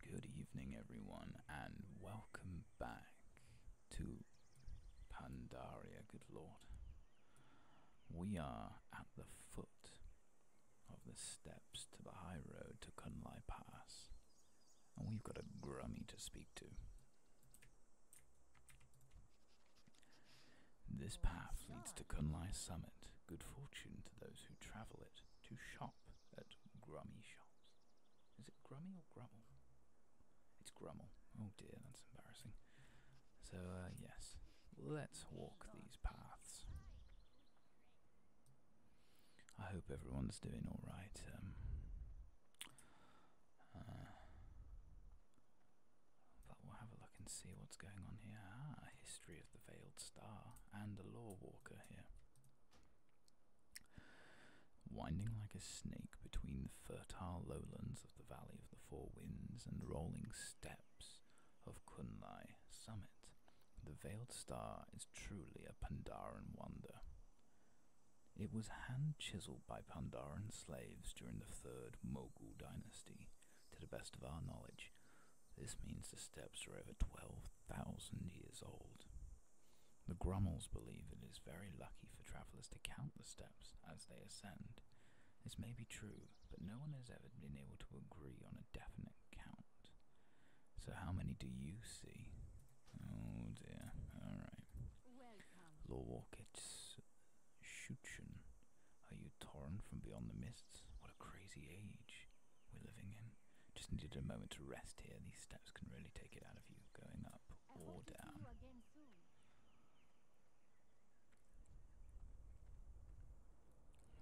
Good evening, everyone, and welcome back to Pandaria, good lord. We are at the foot of the steps to the high road to Kunlai Pass, and we've got a grummy to speak to. This path leads to Kunlai Summit. Good fortune to those who travel it to shop at Grummy Shops. Is it Grummy or Grumble? It's Grumble. Oh dear, that's embarrassing. So, uh, yes, let's walk these paths. I hope everyone's doing alright. Um, uh, but we'll have a look and see what's going on here. Ah, a history of the Veiled Star and a Law Walker here. Winding like a snake between the fertile lowlands of the Valley of the Four Winds and rolling steppes of Kunlai Summit, the Veiled Star is truly a Pandaren wonder. It was hand chiseled by Pandaren slaves during the Third Mogul Dynasty to the best of our knowledge. This means the steps are over 12,000 years old. The Grummels believe it is very lucky for travellers to count the steps as they ascend. This may be true, but no one has ever been able to agree on a definite count. So, how many do you see? Oh dear, alright. Lorwalkits Shutchen, are you torn from beyond the mists? What a crazy age we're living in. Just needed a moment to rest here. These steps can really take it out of you, going up or down.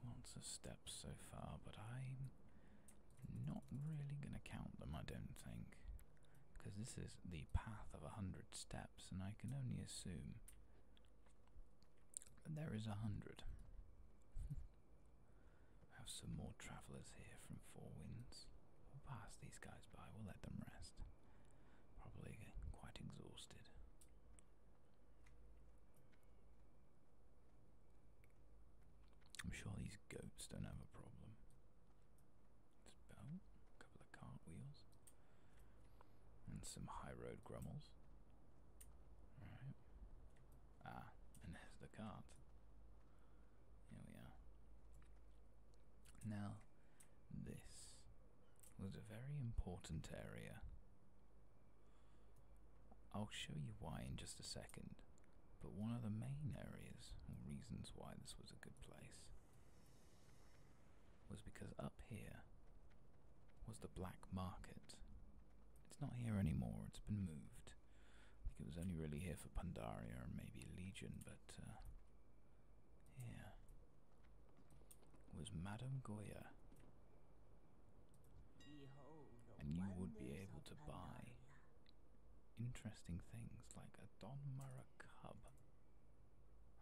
Lots of steps so far, but I'm not really going to count them, I don't think. Because this is the path of a hundred steps, and I can only assume and there is a hundred. I have some more travellers here from Four Winds. We'll pass these guys by, we'll let them rest. Probably quite exhausted. I'm sure these goats don't have a problem. It's about a couple of cartwheels and some high road grummels. Ah, and there's the cart. Here we are. Now, this was a very important area. I'll show you why in just a second, but one of the main areas or reasons why this was a good place was because up here was the black market. It's not here anymore, it's been moved. it was only really here for Pandaria and maybe Legion, but uh, Was Madame Goya. And you would be able to buy interesting things like a Don Mara cub.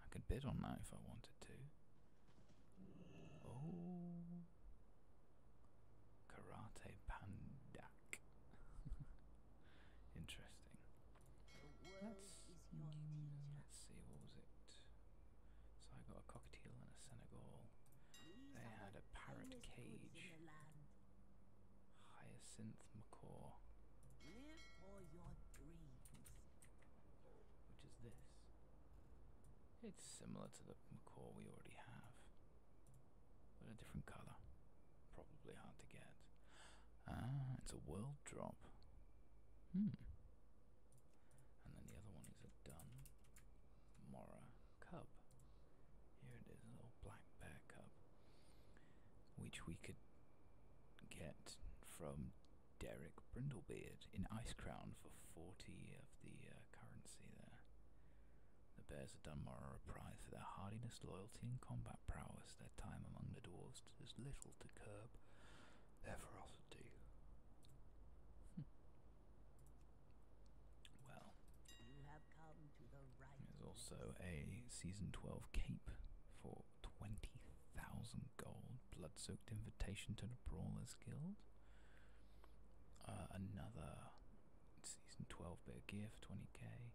I could bid on that if I wanted to. Oh. Karate Pandak. Interesting. Let's, let's see, what was it? So I got a cockatiel and a Senegal. They had a parrot cage. Hyacinth macaw. Which is this? It's similar to the macaw we already have, but a different color. Probably hard to get. Ah, it's a world drop. Hmm. And then the other one is a dun mora cub. Here it is, a little black bear cub, which we could get from Derek Brindlebeard in Ice Crown for 40 of the uh, currency there. The Bears of Dunmore are prized for their hardiness, loyalty, and combat prowess. Their time among the dwarves does little to curb their ferocity. Hmm. Well, there's also a Season 12 cape for twenty thousand gold blood-soaked invitation to the Brawlers Guild. Uh, another season 12 bit of gear for 20k.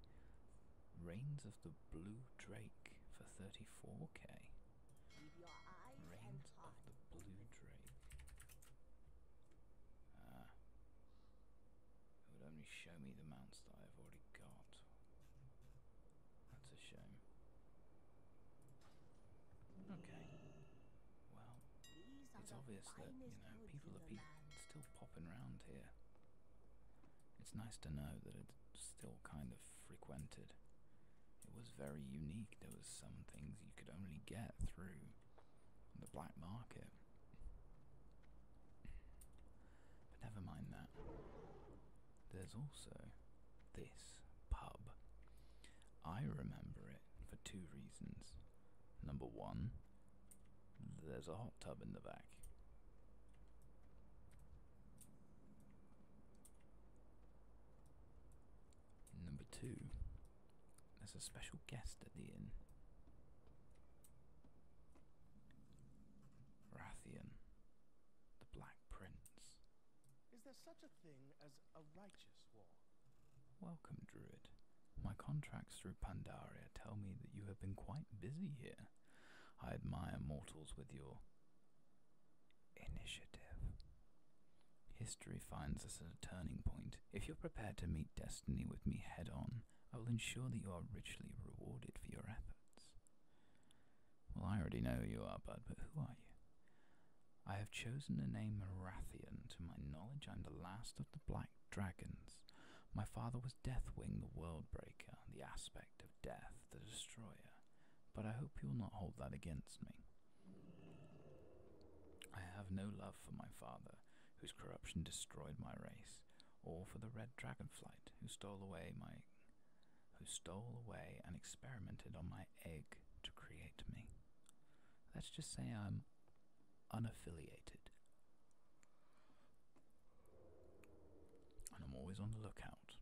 Reigns of the Blue Drake for 34k. Reigns of the Blue Drake. Ah. It would only show me the mounts that I've already got. That's a shame. Okay. Well, it's obvious that, you know, people are still popping round here. It's nice to know that it's still kind of frequented. It was very unique. There was some things you could only get through the black market. But never mind that. There's also this pub. I remember it for two reasons. Number one, there's a hot tub in the back. Number two, there's a special guest at the inn. Rathian, the Black Prince a righteous war. Welcome, Druid. My contracts through Pandaria tell me that you have been quite busy here. I admire mortals with your initiative. History finds us at a turning point. If you're prepared to meet destiny with me head on, I will ensure that you are richly rewarded for your efforts. Well, I already know who you are, bud, but who are you? I have chosen the name Marathion. To my knowledge, I'm the last of the black dragons. My father was Deathwing, the Worldbreaker, the aspect of death, the destroyer. But I hope you'll not hold that against me. I have no love for my father, whose corruption destroyed my race, or for the red dragonflight, who stole away my who stole away and experimented on my egg to create me. Let's just say I'm unaffiliated. And I'm always on the lookout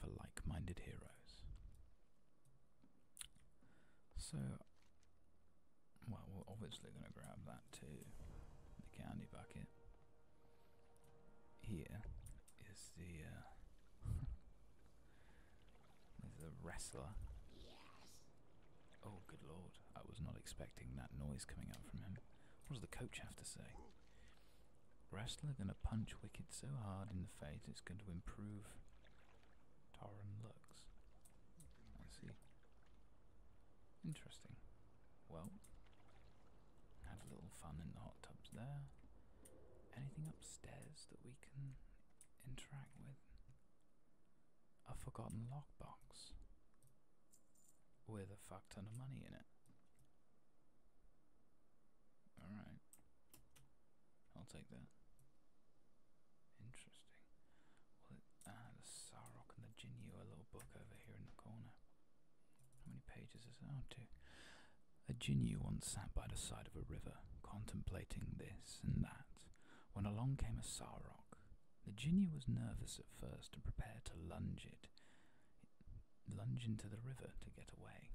for like minded heroes. So, well, we're obviously going to grab that too the candy bucket. Here is the. Uh, This a wrestler. Yes. Oh, good lord. I was not expecting that noise coming up from him. What does the coach have to say? Wrestler gonna punch Wicked so hard in the face it's going to improve Taran looks. I see. Interesting. Well, have a little fun in the hot tubs there. Anything upstairs that we can interact with? A forgotten lockbox with a fuck of money in it. Alright. I'll take that. Interesting. Well, the Sarok and the Jinyu, a little book over here in the corner. How many pages is that? Oh, two. A Jinni once sat by the side of a river, contemplating this and that, when along came a Sarok. The Jinni was nervous at first and prepared to lunge it, lunge into the river to get away.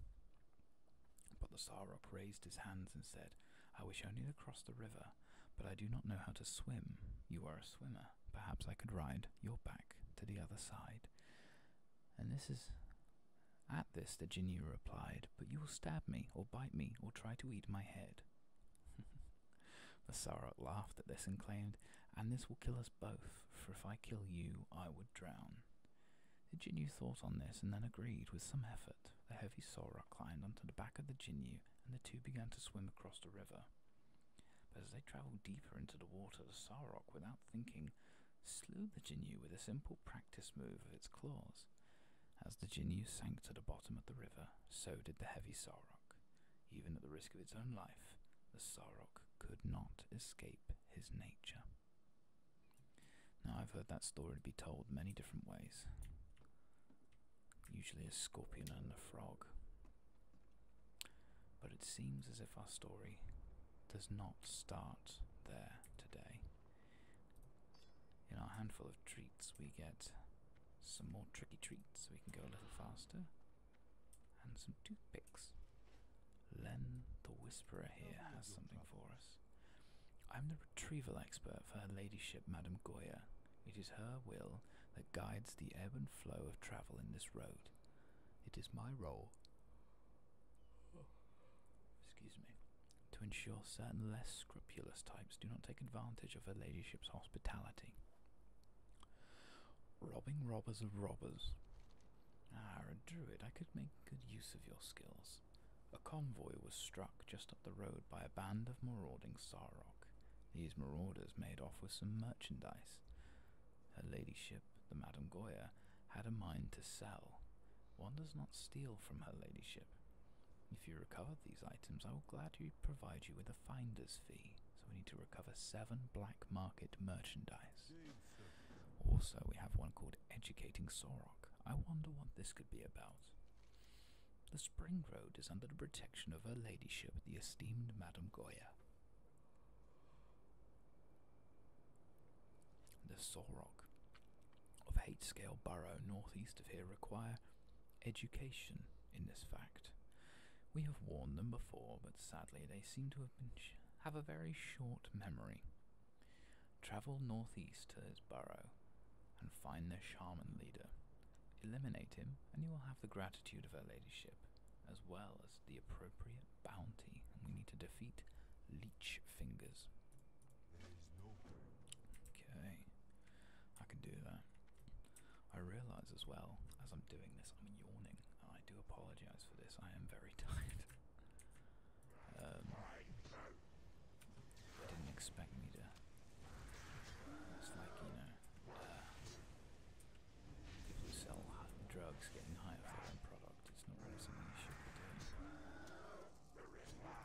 But the Sarok raised his hands and said, I wish only to cross the river, but I do not know how to swim. You are a swimmer. Perhaps I could ride your back to the other side. And this is at this the Jinni replied, But you will stab me, or bite me, or try to eat my head. the Sarok laughed at this and claimed, And this will kill us both, for if I kill you, I would drown. The Jinyu thought on this and then agreed with some effort. The heavy sarok climbed onto the back of the Jinyu, and the two began to swim across the river. But as they travelled deeper into the water, the Sarok, without thinking, slew the Jinyu with a simple practice move of its claws. As the Jinyu sank to the bottom of the river, so did the heavy Sarok. Even at the risk of its own life, the Sarok could not escape his nature. Now, I've heard that story be told many different ways, usually a scorpion and a frog. But it seems as if our story does not start there today. In our handful of treats, we get some more tricky treats so we can go a little faster. And some toothpicks. Len the Whisperer here has something for us. I'm the retrieval expert for her ladyship, Madame Goya. It is her will that guides the ebb and flow of travel in this road. It is my role. Oh. Excuse me to ensure certain less scrupulous types do not take advantage of her ladyship's hospitality. Robbing robbers of robbers. Ah, a druid, I could make good use of your skills. A convoy was struck just up the road by a band of marauding Sarok. These marauders made off with some merchandise. Her ladyship, the Madame Goya, had a mind to sell. One does not steal from her ladyship. If you recover these items, I will gladly provide you with a finder's fee. So we need to recover seven black market merchandise. Also, we have one called Educating Sorok. I wonder what this could be about. The Spring Road is under the protection of her ladyship, the esteemed Madame Goya. The Sorok of Hate Scale Borough northeast of here require education in this fact. We have warned them before, but sadly they seem to have been have a very short memory. Travel northeast to his burrow and find their shaman leader. Eliminate him, and you will have the gratitude of her ladyship, as well as the appropriate bounty. we need to defeat Leech fingers. Okay, I can do that. I realize as well, as I'm doing this, I'm yawning. I do apologize for this, I am very tired. Um, I didn't expect me to. Uh, sell drugs getting higher for their product. It's not really something you should be doing the red line.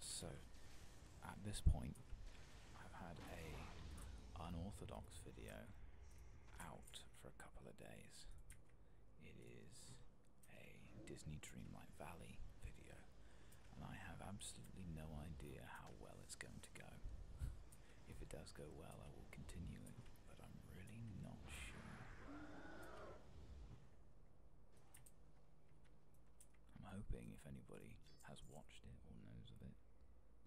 So, at this point, I've had a unorthodox video out for a couple of days. It is a Disney Dreamlight Valley video, and I have absolutely no idea how well it's going to go. if it does go well, I will continue it, but I'm really not sure. I'm hoping if anybody has watched it or knows of it,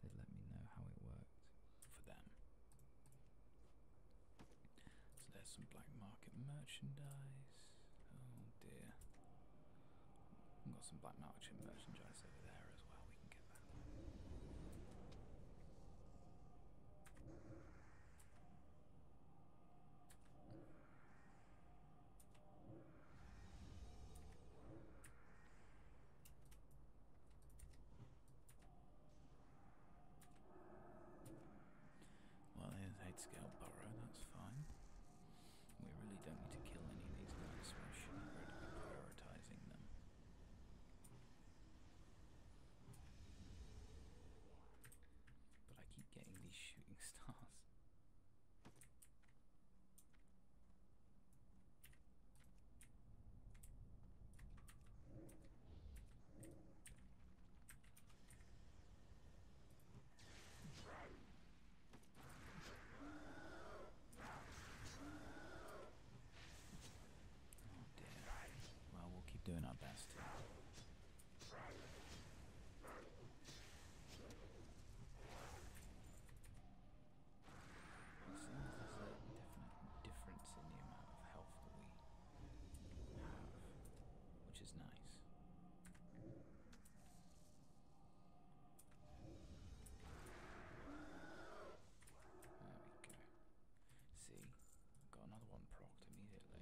they'd let me know how it worked for them. So there's some black market merchandise. Oh dear. I've got some black market merchandise over there as well, we can get that. Well, there's 8 scale burrow, that's fine. We really don't need to kill any of these guys, so I shouldn't really be prioritizing them. But I keep getting these shooting stars. Well, we'll keep doing our best there's a definite difference in the amount of health we have, which is nice. There we go. See, got another one procked immediately.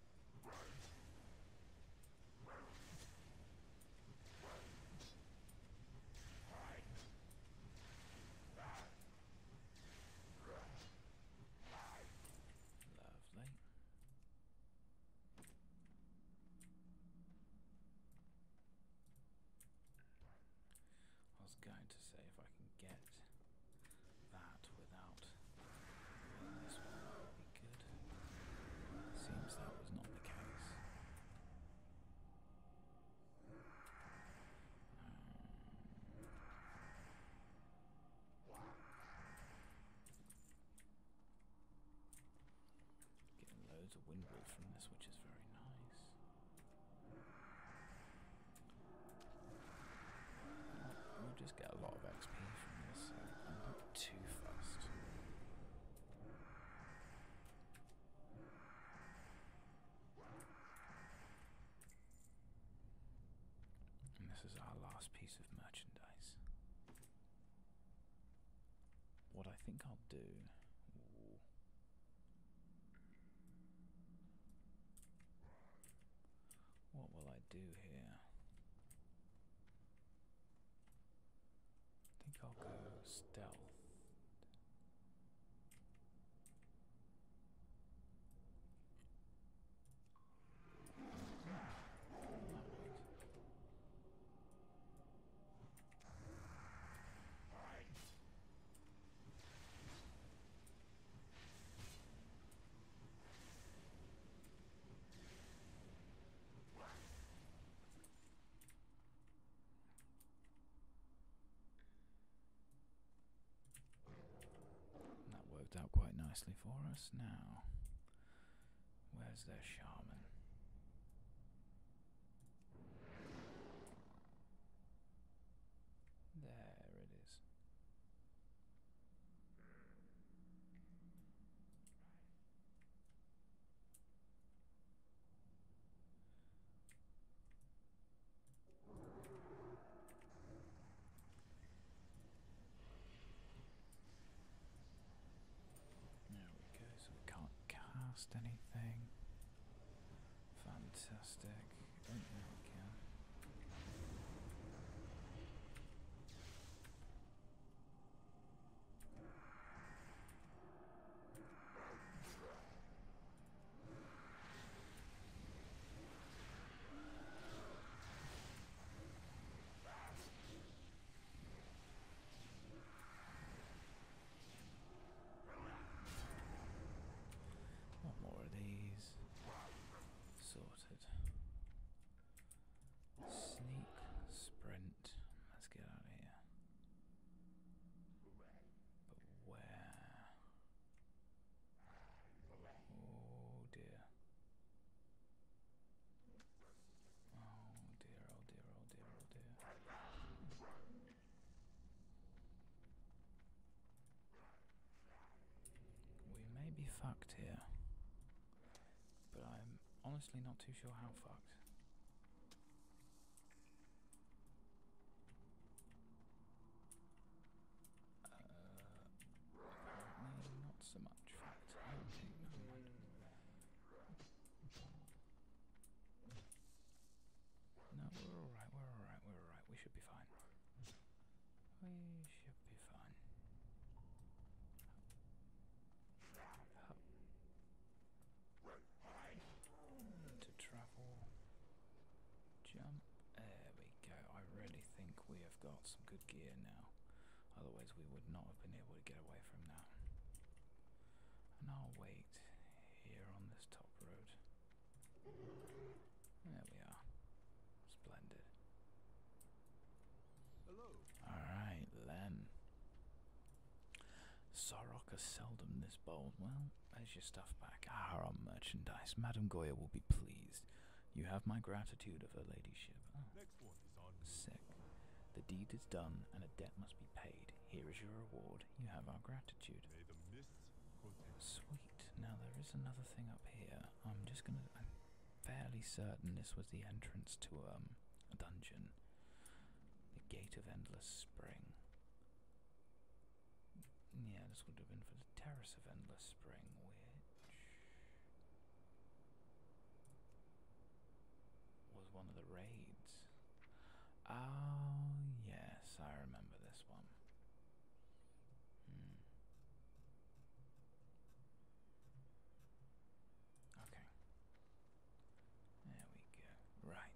Lovely. I was going to see if I can get that without this one be good. Seems that was not the case. Um, getting loads of windward from this, which is very nice. We'll just get a lot of XP from this too fast. this is our last piece of merchandise. What I think I'll do. What will I do here? I think I'll go stealth that worked out quite nicely for us. Now, where's their shaman? There it is. There we go, so we can't cast anything. Fantastic. Oh, there we go. One more of these sorted. Sneak, sprint. Let's get out of here. But where? Oh dear. Oh dear, oh dear, oh dear, oh dear. We may be fucked here but I'm honestly not too sure how fucked. Uh, not so much oh No, we're alright, we're alright, we're alright. We should be fine. We should be fine. Hup. To travel, jump. There we go. I really think we have got some good gear now. Otherwise, we would not have been able to get away from that. And I'll wait here on this top road. There we are. Splendid. Alright then. Soroka is seldom this bold. Well, there's your stuff back. Ah, our merchandise. Madame Goya will be pleased. You have my gratitude of her ladyship. Ah, Next one is on Sick. The deed is done and a debt must be paid. Here is your reward. You have our gratitude. Sweet. Now there is another thing up here. I'm just gonna fairly certain this was the entrance to um, a dungeon. The Gate of Endless Spring. Yeah, this would have been for the Terrace of Endless Spring, which was one of the raids. Oh, yes, I remember this one. Hmm. Okay. There we go. Right,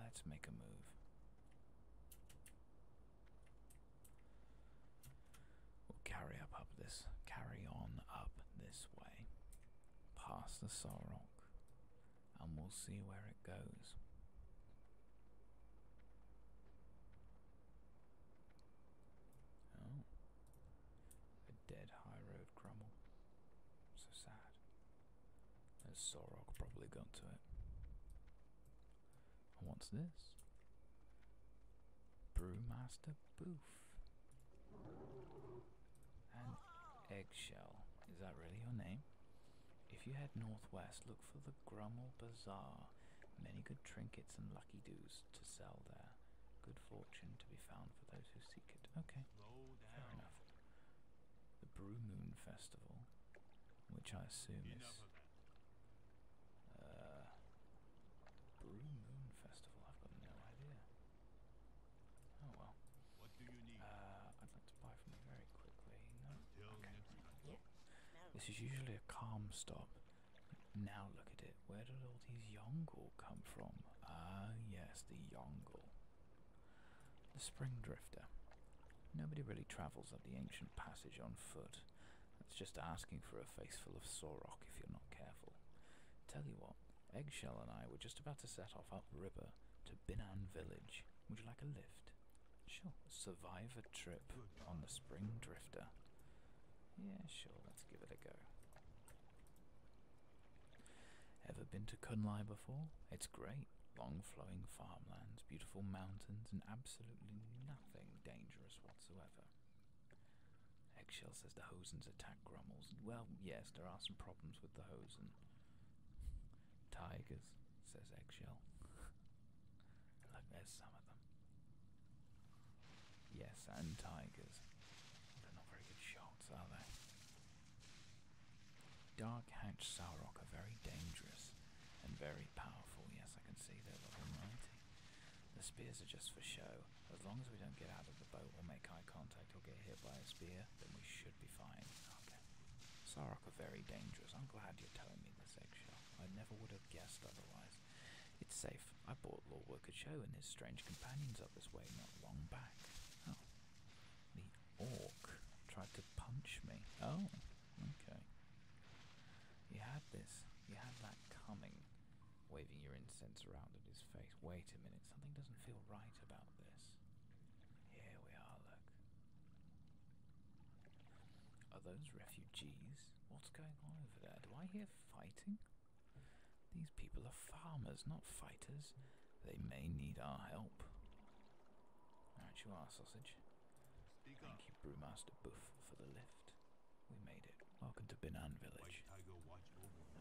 let's make a move. We'll carry up up this carry on up this way. Past the Sorok. And we'll see where it goes. Oh, a dead high road crumbled. So sad. And Sorok probably got to it. what's this? Brewmaster Boof. An eggshell. Is that really your name? If you head northwest, look for the Grummel Bazaar. Many good trinkets and lucky dues to sell there. Good fortune to be found for those who seek it. Okay, fair enough. The Brew Moon Festival, which I assume is. Uh, Brew Moon Festival, I've got no idea. Oh well. What do you need? Uh, I'd like to buy from you very quickly. No? Okay. This is usually a calm stop, now look at it. Where did all these Yongle come from? Ah, yes, the Yongle. The Spring Drifter. Nobody really travels up the ancient passage on foot. It's just asking for a faceful of Sorok if you're not careful. Tell you what, Eggshell and I were just about to set off up river to Binan Village. Would you like a lift? Sure. Survive a trip on the Spring Drifter. Yeah, sure, let's give it a go. Ever been to Kunlai before? It's great. Long flowing farmlands, beautiful mountains, and absolutely nothing dangerous whatsoever. Eggshell says the Hosen's attack Grummels. Well, yes, there are some problems with the Hosen. Tigers, says Eggshell. Look, there's some of them. Yes, and tigers. They're not very good shots, are they? Dark hatched Saurok are very dangerous and very powerful. Yes, I can see they're level The spears are just for show. As long as we don't get out of the boat or make eye contact or get hit by a spear, then we should be fine. Okay. are very dangerous. I'm glad you're telling me this, Eggshell. I never would have guessed otherwise. It's safe. I bought Lord Worker Show and his strange companions up this way not long back. Oh. The orc tried to punch me. Oh, okay. You had this. You had that coming. Waving your incense around at his face. Wait a minute, something doesn't feel right about this. Here we are, look. Are those refugees? What's going on over there? Do I hear fighting? These people are farmers, not fighters. They may need our help. Right, you our sausage. Thank you, Brewmaster Buff, for the lift. We made it. Welcome to Binan Village.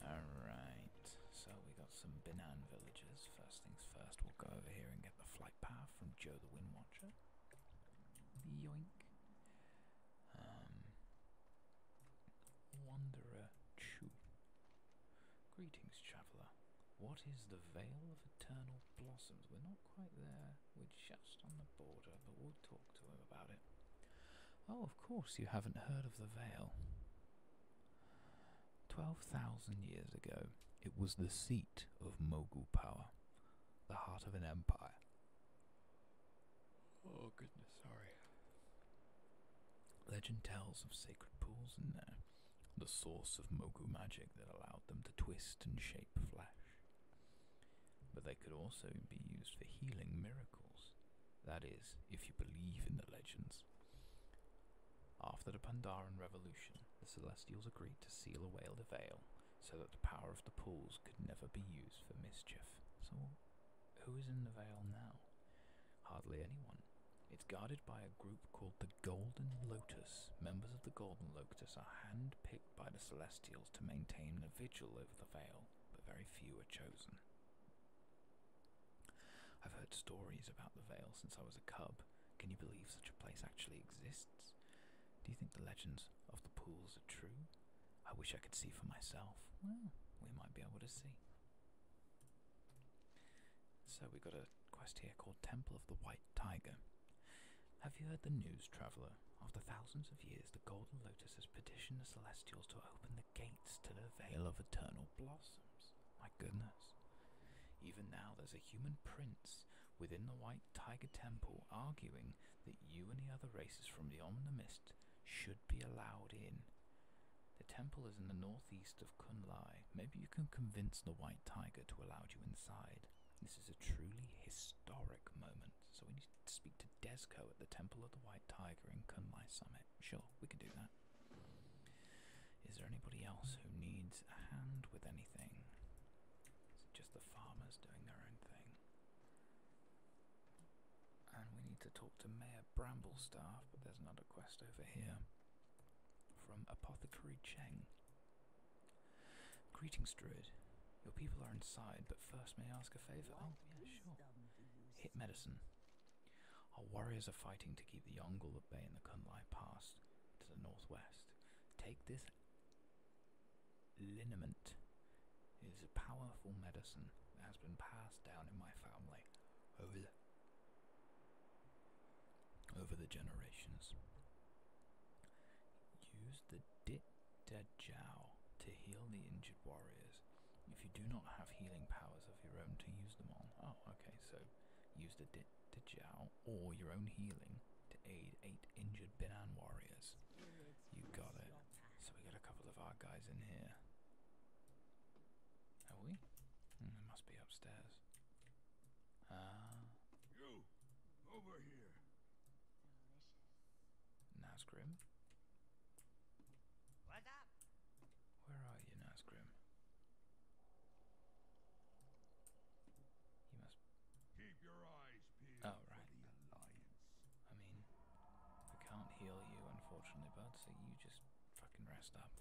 Alright, so we got some Binan villagers. First things first, we'll go over here and get the flight path from Joe the Wind Watcher. Yoink. Um, Wanderer Greetings, traveller. What is the Veil of Eternal Blossoms? We're not quite there. We're just on the border, but we'll talk to him about it. Oh, of course, you haven't heard of the Veil. Twelve thousand years ago, it was the seat of Mogul power, the heart of an empire, Oh goodness, sorry. Legend tells of sacred pools in there, the source of Mogu magic that allowed them to twist and shape flesh. But they could also be used for healing miracles. That is, if you believe in the legends. After the Pandaran Revolution, the Celestials agreed to seal away the veil so that the power of the pools could never be used for mischief. So who is in the Vale now? Hardly anyone. It's guarded by a group called the Golden Lotus. Members of the Golden Lotus are hand-picked by the Celestials to maintain a vigil over the Vale, but very few are chosen. I've heard stories about the Vale since I was a cub. Can you believe such a place actually exists? Do you think the legends of the pools are true? I wish I could see for myself. Well, we might be able to see. So we got a quest here called Temple of the White Tiger. Have you heard the news, traveller? After thousands of years, the Golden Lotus has petitioned the Celestials to open the gates to the Vale of Eternal Blossoms. My goodness. Even now, there's a human prince within the White Tiger Temple arguing that you and the other races from the Omniverse should be allowed in. The temple is in the northeast of Kunlai. Maybe you can convince the White Tiger to allow you inside. This is a truly historic moment, so we need to speak to Desko at the Temple of the White Tiger in Kunlai Summit. Sure, we can do that. Is there anybody else who needs a hand with anything? just the farmers doing their own thing? And we need to talk to Mayor Bramblestaff, but there's another quest over here from Apothecary Cheng. Greetings, Druid. Your people are inside, but first may I ask a favour? Oh, yeah, sure. Hit medicine. Our warriors are fighting to keep the Yongle at bay in the Kunlai Pass to the northwest. Take this liniment. is a powerful medicine that has been passed down in my family over the, generations. Use the Dit De to heal the injured warriors. If you do not have healing powers of your own to use them on, oh, okay, so use the Dit De or your own healing to aid eight injured Binan warriors. You got it. So we got a couple of our guys in here. Have we? Mm, must be upstairs. Ah. You over here. Nazgrim. What's up? Where are you, Nazgrim? You must. Oh right. I mean. I can't heal you, unfortunately, bud, so you just fucking rest up.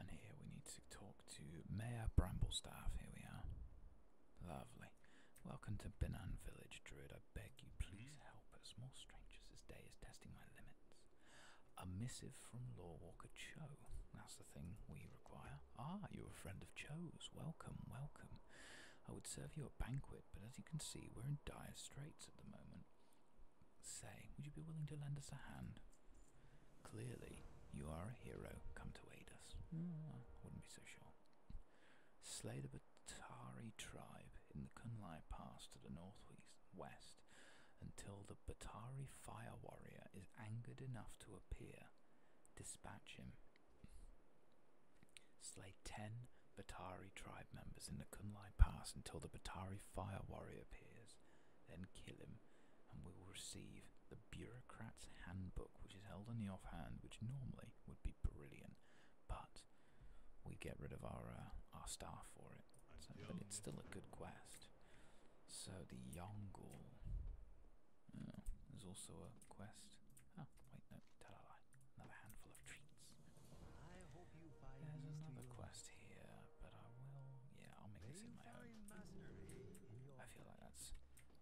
And here we need to talk to Mayor Bramblestaff. Here we are. Lovely. Welcome to Benan Village, Druid. I beg you, please mm-hmm. help us. More strangers. This day is testing my limits. A missive from Lawwalker Cho. That's the thing we require. Ah, you a friend of Cho's. Welcome, welcome. I would serve you a banquet, but as you can see, we're in dire straits at the moment. Say, would you be willing to lend us a hand? Clearly, you are a hero. Come to aid us. Hmm. Ah, I wouldn't be so sure. Slay the Batari tribe in the Kunlai Pass to the northwest until the Batari fire warrior is angered enough to appear. Dispatch him Slay ten Batari tribe members in the Kunlai Pass until the Batari fire warrior appears. Then kill him, and we will receive the bureaucrat's handbook, which is held on the offhand, which normally would be brilliant, but we get rid of our uh, our staff for it. but it's still a good quest. So the Yongul there's also a quest. Oh, wait, no, tell a lie. Another handful of treats. There's another quest here, but I will. Yeah, I'll make this in my own. I feel like that's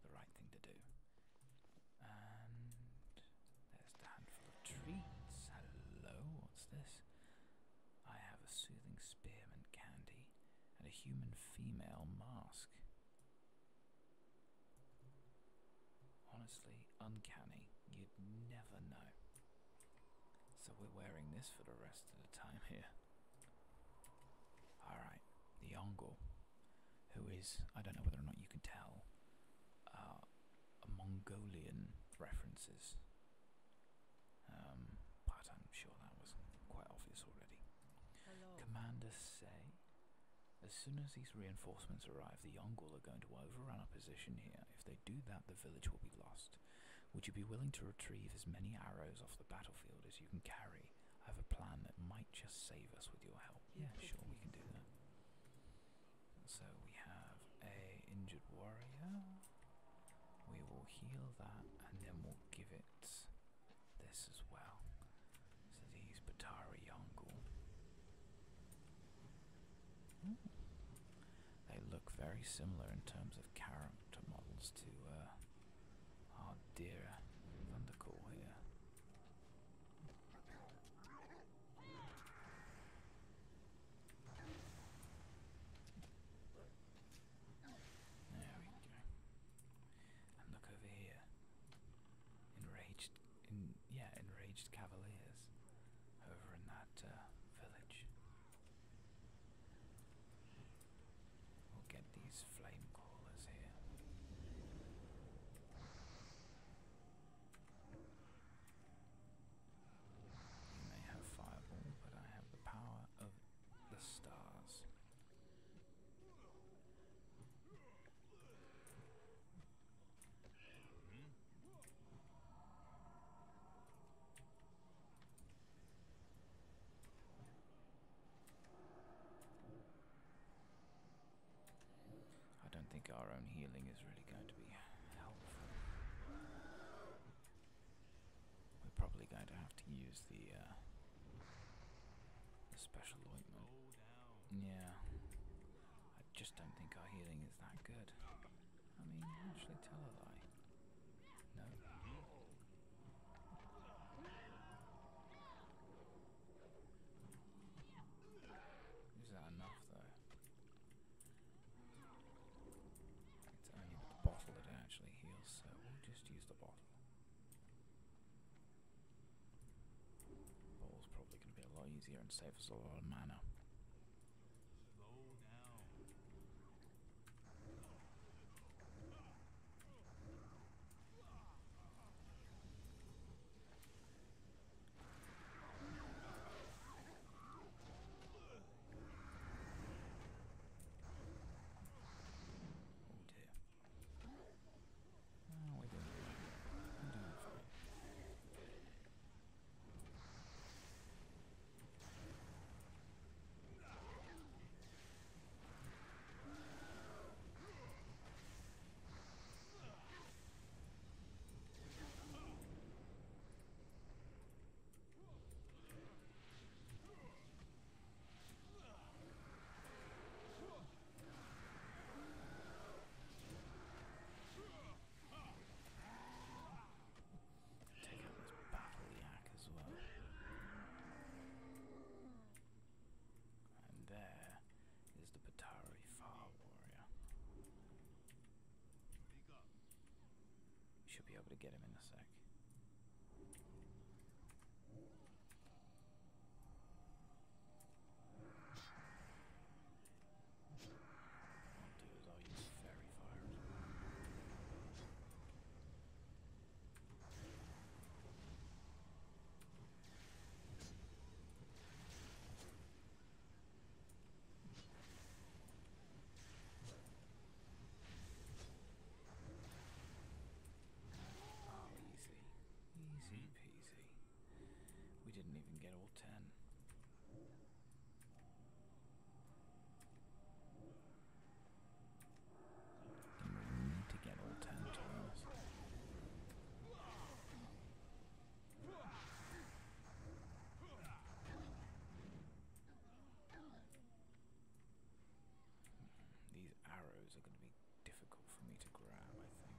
the right thing to do. And there's the handful of treats. Hello, what's this? I have a soothing spearmint candy and a human female mask. Honestly, uncanny. You'd never know. So we're wearing this for the rest of the time here. Alright, the Ongol, who is, I don't know whether or not you can tell, uh, a Mongolian references. Um, but I'm sure that was quite obvious already. Commander Say as soon as these reinforcements arrive, the Yongul are going to overrun our position here. If they do that, the village will be lost. Would you be willing to retrieve as many arrows off the battlefield as you can carry? I have a plan that might just save us with your help. Yeah, sure, we can do that. So we have a injured warrior. We will heal that, and then we'll give it this as well. So these Batara Yongle. Hmm. They look very similar in terms of character models to uh, our dear Thundercall here. There we go. And look over here. Enraged yeah, enraged cavaliers over in that uh, village. We'll get these flame callers here. You may have fireball, but I have the power of the stars. I don't think our own healing is really going to be helpful. We're probably going to have to use the, uh, special ointment. Yeah. I just don't think our healing is that good. I mean, actually tell a lie. No. Is that enough though? It's only the bottle that actually heals, so we'll just use the bottle. It's probably going to be a lot easier and save us a lot of mana. Oh Oh, we didn't reach it. I'm doing it for you. Whoa! Take out this battle yak as well. And there is the Batari Far Warrior. We should be able to get him in a sec. I'll do is I'll use fairy fire as well. Oh, easy, easy peasy. We didn't even get all ten. we need to get all ten These arrows are going to be difficult for me to grab, I think.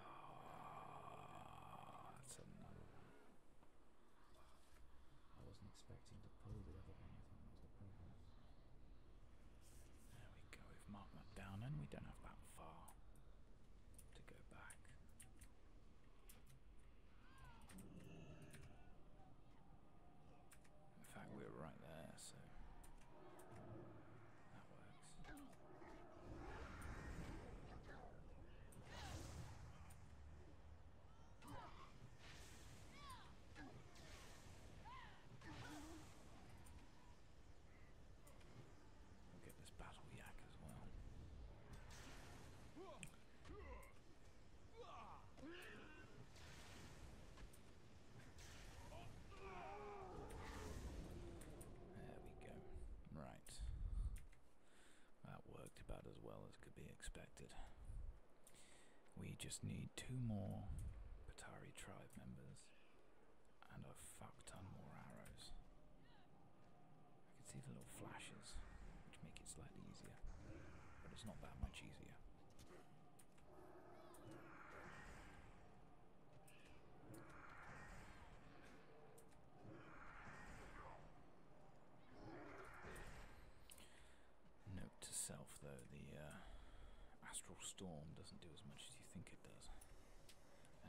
Ah, that's another one. I wasn't expecting to pull the other one. There we go. We've marked that down, and we don't have that far to go back. In fact, we were right there, so We'll get this battle yak as well. There we go. Right. That worked about as well as could be expected. We just need two more Patari tribe members and a fuck ton more arrows. I can see the little flashes, which make it slightly easier, but it's not that much easier. Note to self though, the uh, astral storm doesn't do as much as you think it does.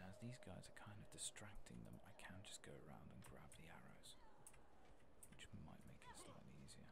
as these guys are kind of distracting them, I can just go around and grab the arrows, which might make it slightly easier.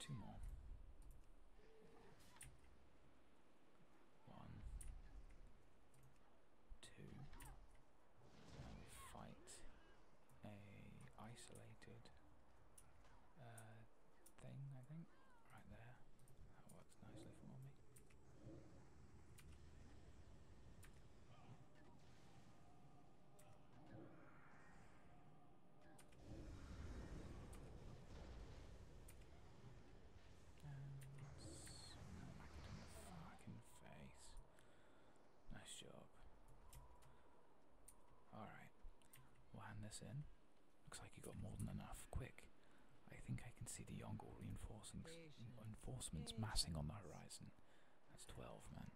Two more. One. Two. we fight a isolated uh, thing, I think. Right there. That works nicely for me. Nice job. Alright. We'll hand this in. Looks like you got more than enough. Quick. I think I can see the Yongle reinforcements, reinforcements massing on the horizon. That's 12, men.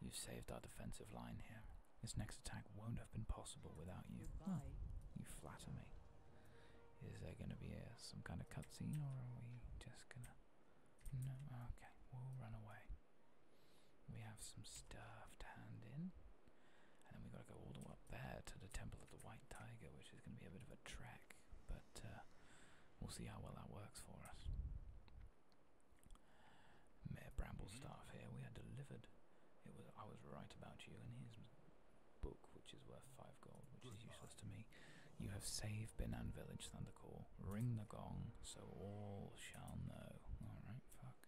You've saved our defensive line here. This next attack won't have been possible without you. you flatter me. Is there going to be some kind of cutscene, or are we just going to... No, okay, we'll run away. We have some stuff to hand in. And then we've got to go all the way up there to the Temple of the White Tiger, which is going to be a bit of a trek. But uh, we'll see how well that works for us. Mayor Bramblestaff mm here. We are delivered. It was I was right about you, and here's book, which is worth five gold, which is useless to me. You have saved Binan Village Thundercore. Ring the gong, so all shall know. Alright, fuck.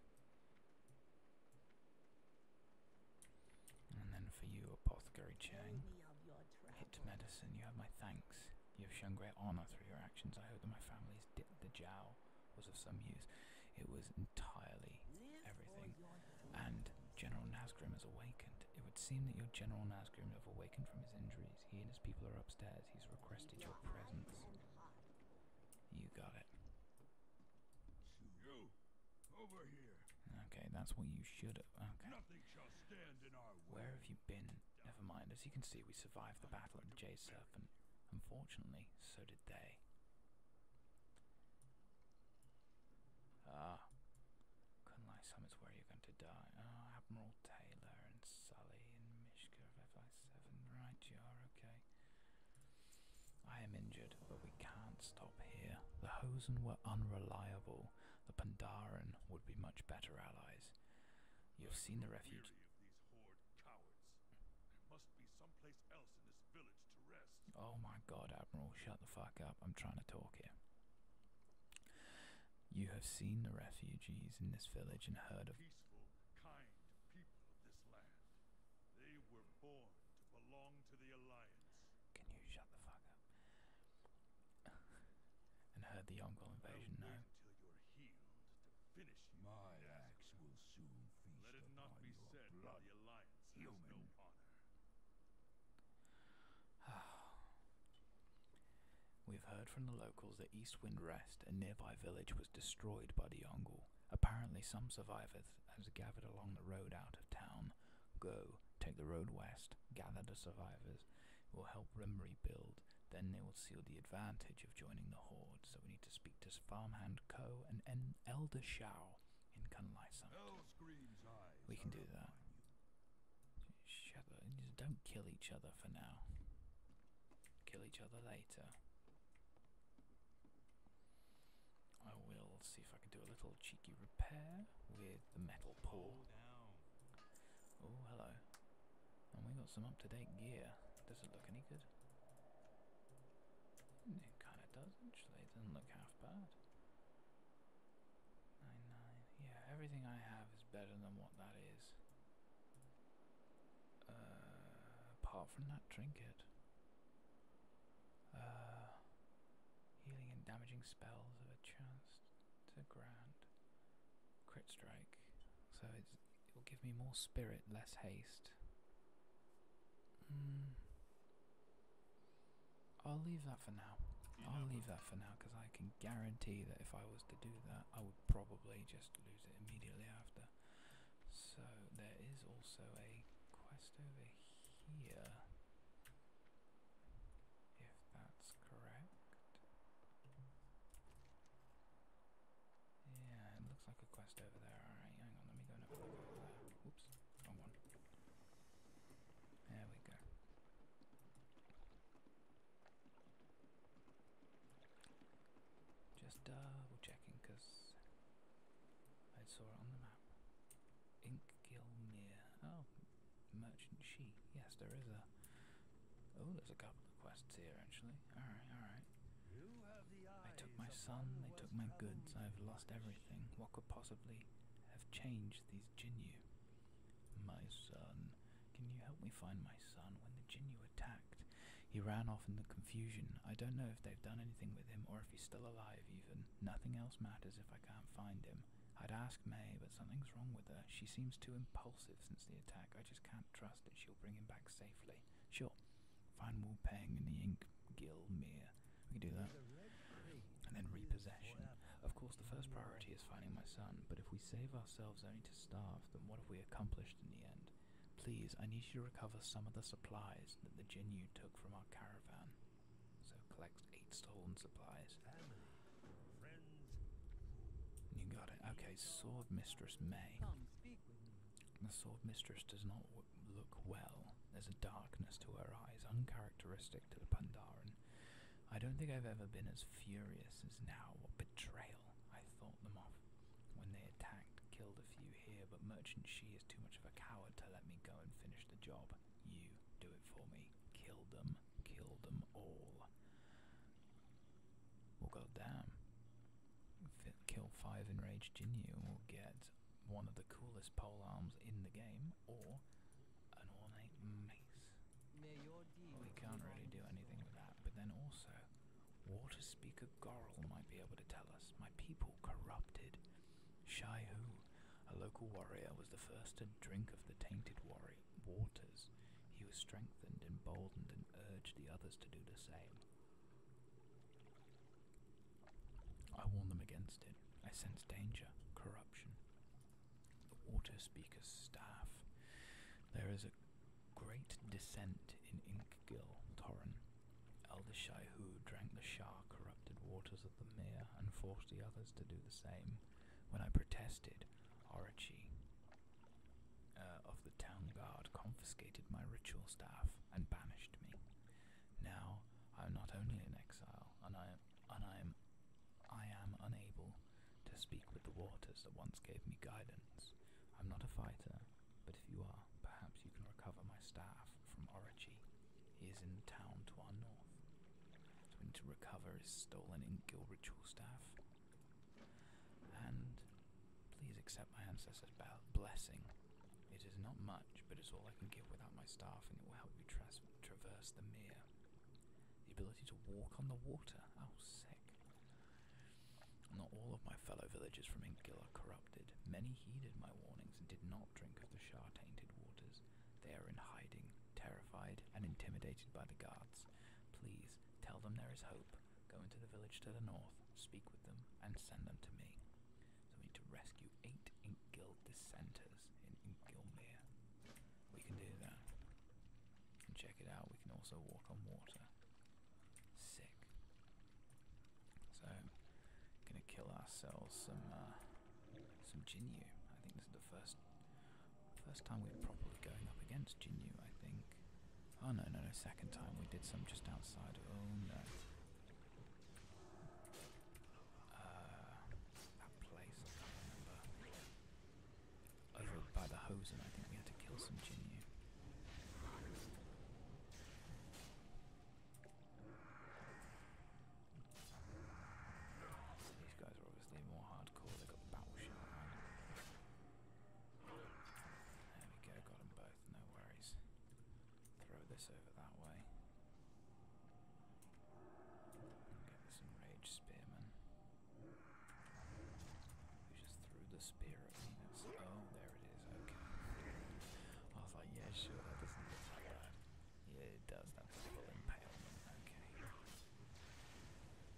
And then for you, Apothecary Chang. Hit medicine, you have my thanks. You have shown great honour through your actions. I hope that my family is the jowl was of some use. It was entirely everything. And General Nasgrim has awakened. It would seem that your General Nasgrim has awakened from his injuries. He and his people are upstairs. He's requested your presence. You got it. You over here. Okay, that's what you should have. Okay. Where have you been? Never mind. As you can see, we survived the battle of the Jay Serpent. Unfortunately, so did did Ah, Kunlai Summits, where you going to die. Oh, Admiral Taylor and Sully and Mishka of FI7. Right, you are okay. I am injured, but we can't stop here. The Hosen were unreliable. The Pandaren would be much better allies. You have seen the refuge. Oh my god, Admiral, shut the fuck up. I'm trying to talk here. You have seen the refugees in this village and heard of peaceful, kind people of this land. They were born to belong to the Alliance. Can you shut the fuck up? and heard the Mongol invasion now. Finish My yeah. will soon feast Let it blood. Human. honor. We've heard from the locals that East Rest, a nearby village, was destroyed by the Yongle. Apparently, some survivors has gathered along the road out of town. Go, take the road west, gather the survivors. It will help them rebuild. Then they will seal the advantage of joining the horde. So we need to speak Farmhand Co. and Elder Shao in Kunlai Summit. We can do that. don't kill each other for now. Kill each other later. I will see if I can do a little cheeky repair with the metal pole. Oh, hello. And we got some up-to-date gear. Does it look any good? It kind of does not actually. It doesn't look half bad. Nine nine. Yeah, everything I have is better than what that is. Uh, apart from that trinket. Uh, healing and damaging spells have a chance to grant. Crit strike. So it's, it'll give me more spirit, less haste. Mm. I'll leave that for now. I'll leave that for now because I can guarantee that if I was to do that, I would probably just lose it immediately after. So there is also a quest over here. If that's correct. Yeah, it looks like a quest over there. Alright, hang on, let me go and have Oops, wrong one. There we go. Just double checking because I saw it on the map. Inkgilmere. Oh, merchant she. Yes, there is a. Oh, there's a couple quests here, actually. Alright, alright. They took my son, they took my goods, I've lost everything. What could possibly have changed these Jinyu? My son. Can you help me find my son? When the Jinyu attacked, he ran off in the confusion. I don't know if they've done anything with him or if he's still alive, even. Nothing else matters if I can't find him. I'd ask May, but something's wrong with her. She seems too impulsive since the attack. I just can't trust that she'll bring him back safely. Sure, Find Wu Peng in the Ink Gill Mere. We can do that. And then repossession. Of course, the first priority is finding my son, but if we save ourselves only to starve, then what have we accomplished in the end? Please, I need you to recover some of the supplies that the Jinyu took from our caravan. So collect eight stolen supplies. You got it. Okay, Sword Mistress May. The sword mistress does not look well. There's a darkness to her eyes, uncharacteristic to the Pandaren. I don't think I've ever been as furious as now. What betrayal! I thought them off when they attacked, killed a few here, but Merchant She is too much of a coward to let me go and finish the job. You do it for me. Kill them. Kill them all. Well, goddamn kill five enraged and we will get one of the coolest pole arms in the game, or an ornate mace. we can't really do anything with that, but then also, Water Speaker Gorrel might be able to tell us. My people corrupted. Shai a local warrior, was the first to drink of the tainted waters. He was strengthened, emboldened, and urged the others to do the same. I warn them against it. I sense danger, corruption. The water speaker's staff. There is a great descent in Inkgill Torren. Elder Shaihu drank the Shah corrupted waters of the mere and forced the others to do the same. When I protested, Orochi uh, of the town guard confiscated my ritual staff and banished me. Now I am not only in exile, and I am, and I am, I am unable to speak with the waters that once gave me guidance. I'm not a fighter, but if you are, perhaps you can recover my staff from Origi. He is in the town to our north. So we to recover his stolen Inkill ritual staff. And please accept my ancestor's blessing it is not much, but it's all I can give without my staff, and it will help you traverse the mere. The ability to walk on the water. Oh, sick. Not all of my fellow villagers from Inkgill are corrupted. Many heeded my warnings and did not drink of the Shah-tainted waters. They are in hiding, terrified and intimidated by the guards. Please, tell them there is hope go into the village to the north, speak with them, and send them to me. So we need to rescue eight Ink Guild dissenters in Ink Guildmere. We can do that. And check it out, we can also walk on water. Sick. So, gonna kill ourselves some, uh, some Jinyu. I think this is the first, first time we're properly going up against Jinyu, I think. Oh no, no, no, second time we did some just outside. Oh no. Uh, that place, Over by the Hosen, I think we had to kill some Jinyu. these guys are obviously more hardcore, they got the battle shot. There we go, got them both no worries. Throw this over that way. Get this enraged spearman. Who just threw the spear at me. oh, there it is, okay. I was like, yeah, sure, Yeah, it does, that was full impalement, okay.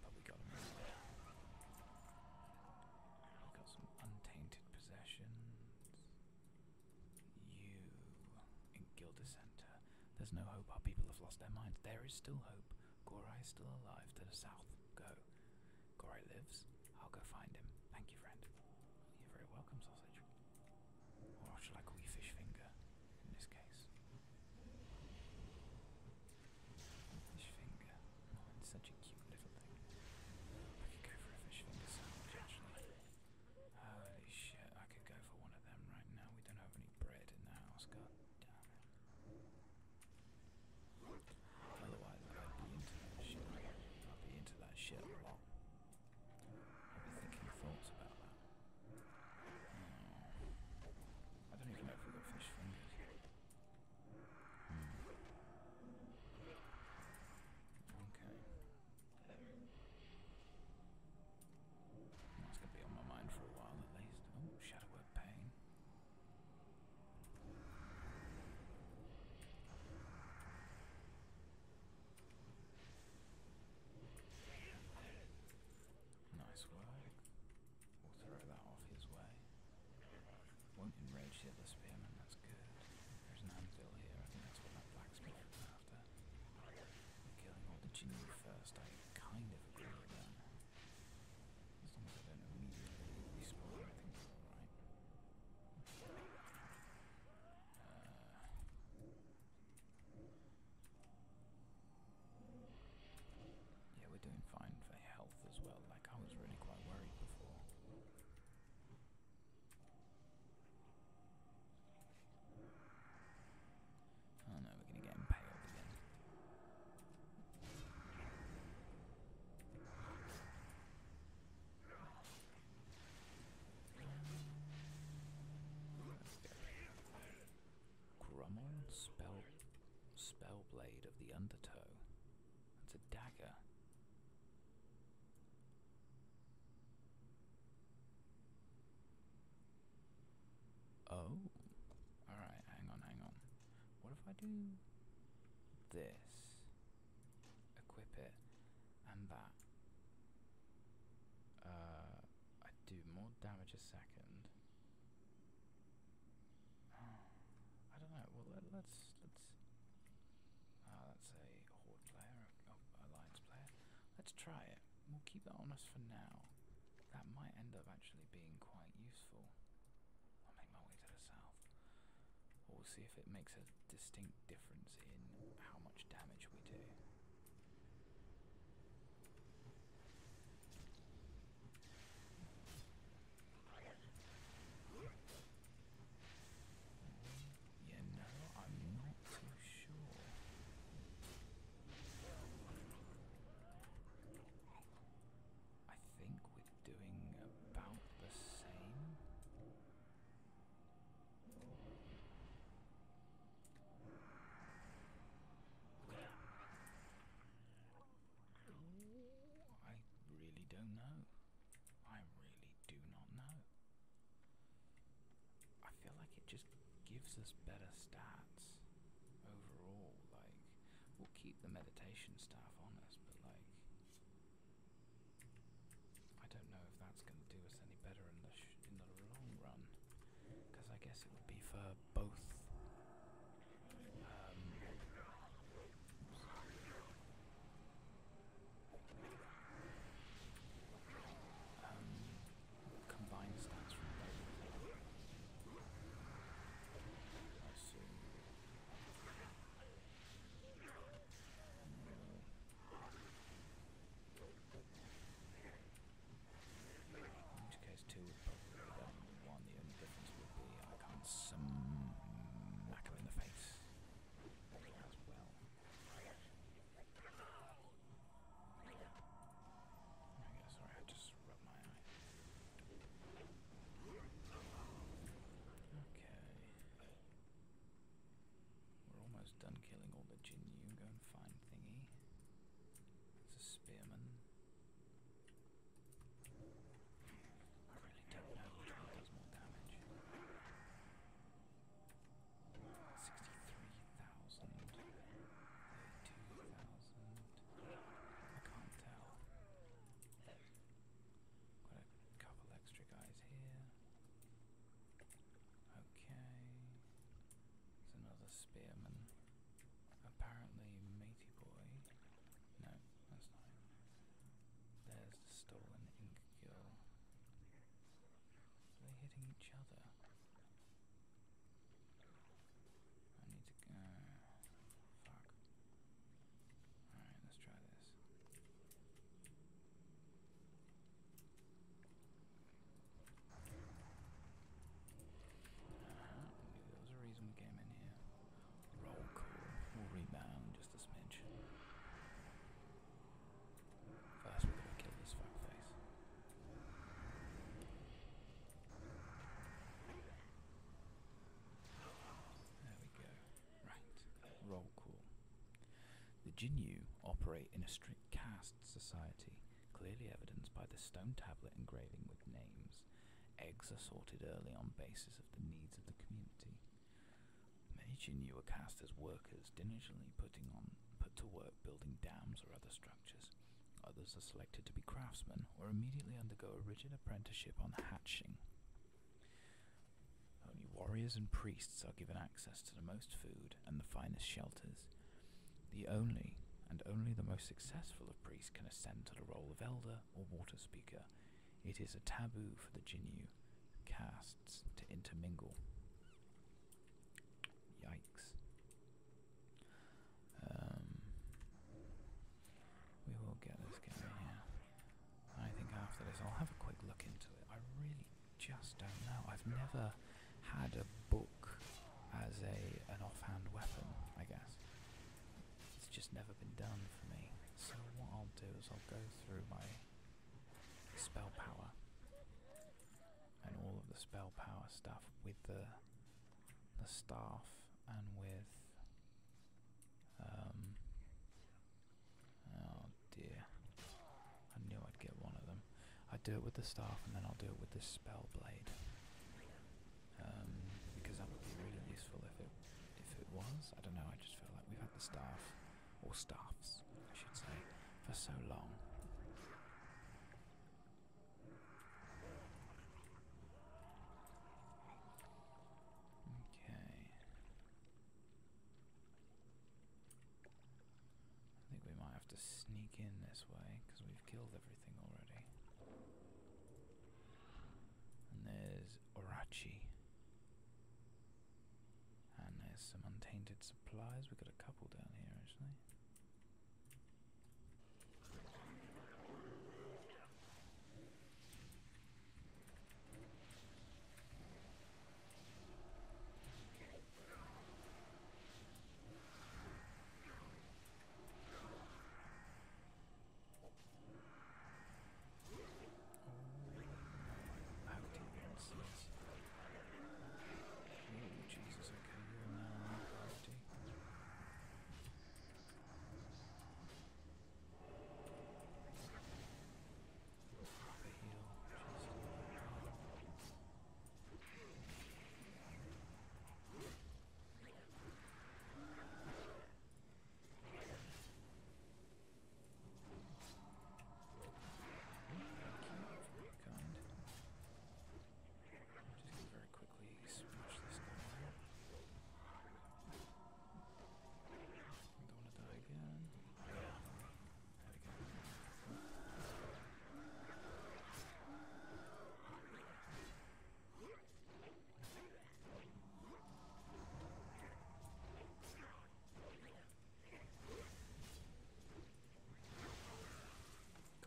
But we got him we got some untainted possessions. You in Gilda Center. There's no hope our people have lost their minds. There is still hope. Gorai is still alive to the south. Go. Gorai lives. I'll go find him. Thank you, friend. You're very welcome, sausage. Or shall I call you fish finger in this case? Fish finger it's such a cute little thing. I could go for a fishing sandwich, actually. Holy shit, I could go for one of them right now. We don't have any bread in the house, god damn it. Otherwise, I'd be into that shit. I'd be into that shit a lot. I'd be thinking thoughts about that. Hmm. I don't even know if we've got fish fingers. Hmm. Okay. That's gonna be on my mind for a while at least. Oh, shadow of pain. Nice work. We'll throw that off his way. Won't enrage the other spearmen, that's good. There's an anvil here, I think that's what that blacksmith was after. Killing all the genie first, I kind of agree with that. As long as I don't immediately respawn, I think it's alright. Uh, yeah, we're doing fine for health as well. Like I was really quite worried before. Oh no, we're gonna get impaled again. Grummel, spell, spellblade of the undertow. It's a dagger. Oh, alright, hang on, hang on. What if I do this? Equip it and that. Uh, I do more damage a second. I don't know. Well, let, let's let's. Uh, horde player, alliance player. Let's try it. We'll keep that on us for now. That might end up actually being quite useful. I'll make my way to the south. we'll see if it makes a distinct difference in how much damage we do. Yeah, no, I'm not too sure. I think we're doing about the same. I really don't know. I really do not know. I feel like it just gives us better stats overall. Like, we'll keep the meditation staff honest, but like, I don't know if that's going to do us any better in the in the long run. Because I guess it would be for both. Um, um, combined stats from both. I assume. No. In which case, two would probably be better than one. The only difference would be I can't smack him in the face as well. I guess, sorry, I just rubbed my eye. Okay. We're almost done killing all the Jinyu. Go and find Thingy. It's a spearman. I really don't know does more damage. 63,000, 32,000, I can't tell. Got a couple extra guys here. Okay, there's another spearman. Apparently, matey boy. No, that's not There's the stolen ink they're hitting each other. I need to go. Fuck. Alright, let's try this. Uh-huh. There was a reason we came in here. Roll call. We'll rebound just a smidge. First, we're going to kill this fuckface. There we go. Right. Roll call. The Jinyu operate in a strict caste society, clearly evidenced by the stone tablet engraving with names. Eggs are sorted early on basis of the needs of the community. Malaysian you were cast as workers, diligently putting on put to work building dams or other structures. Others are selected to be craftsmen or immediately undergo a rigid apprenticeship on hatching. Only warriors and priests are given access to the most food and the finest shelters. The only and only the most successful of priests can ascend to the role of elder or water speaker, it is a taboo for the Jinyu castes to intermingle. Yikes. Um, we will get this guy I think after this I'll have a quick look into it. I really just don't know. I've never had a book as a an offhand weapon, I guess. It's just never been done for me. So what I'll do is I'll go through my spell power and all of the spell power stuff with the the staff and with um oh dear I knew I'd get one of them I do it with the staff and then I'll do it with the spell blade um because that would be really useful if it if it was I don't know I just feel like we've had the staff or staffs, I should say, for so long. Okay. I think we might have to sneak in this way because we've killed everything already and there's Orachi. And there's some untainted supplies. We've got a couple down here actually. Oh, how deep this is. Oh, Jesus, okay, you're now on priority. Drop a heel, just a Right, very kind. Just gonna very quickly smash this guy there. Don't wanna die again. Yeah. That again. Got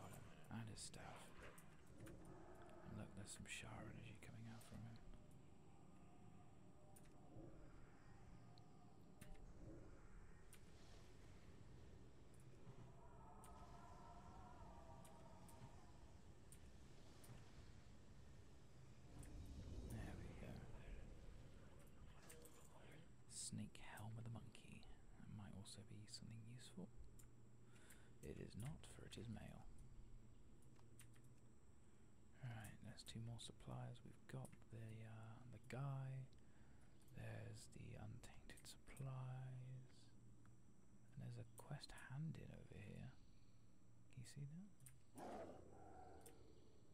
him and his staff. And look, there's some shower energy coming out from him. There we go. Snake helm of the monkey. That might also be something useful. It is not, for it is male. Right, there's two more supplies. We've got the uh, the guy. There's the untainted supplies. And there's a quest handed over here. Can you see that?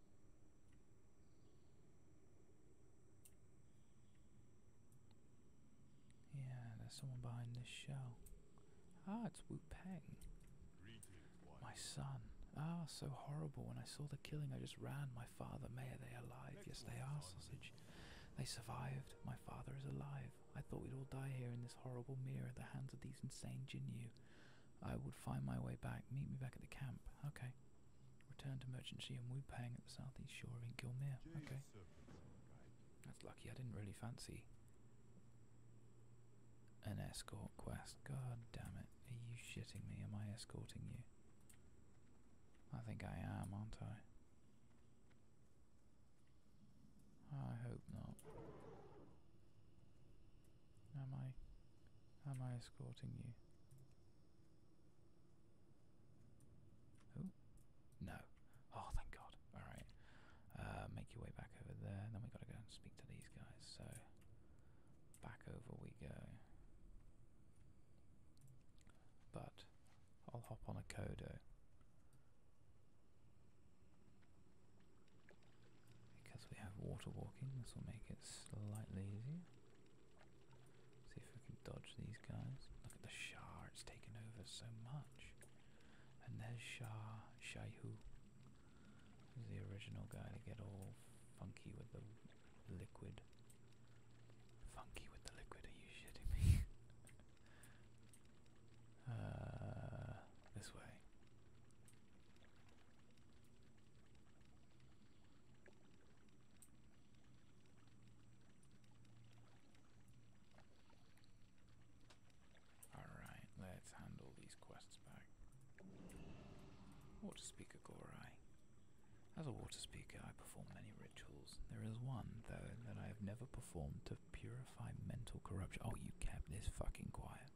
Yeah, there's someone behind this shell. Ah, it's Wu Peng. My son. Ah, so horrible. When I saw the killing, I just ran. My father, may are they alive? Yes, they are, sausage. They survived. My father is alive. I thought we'd all die here in this horrible mirror at the hands of these insane Jinyu. I would find my way back. Meet me back at the camp. Okay. Return to Merchant Sea and Wu Pang at the southeast shore of Gilmere. Okay. That's lucky. I didn't really fancy an escort quest. God damn it. Are you shitting me? Am I escorting you? I think I am, aren't I? I hope not. Am I am I escorting you? Oh no. Oh thank God. Alright. Uh, make your way back over there. Then we gotta go and speak to these guys, so back over we go. But I'll hop on a Kodo. Because we have water walking, this will make it slightly easier. See if we can dodge these guys. Look at the Shah, it's taken over so much. And there's Shah, Shaihu. He's the original guy to get all funky with the liquid. Funky with the liquid, are you shitting me? uh, this way. Alright, let's handle these quests back. Water Speaker Gorai. As a water speaker, I perform many rituals. There is one, though, that I have never performed to purify mental corruption. Oh, you kept this fucking quiet.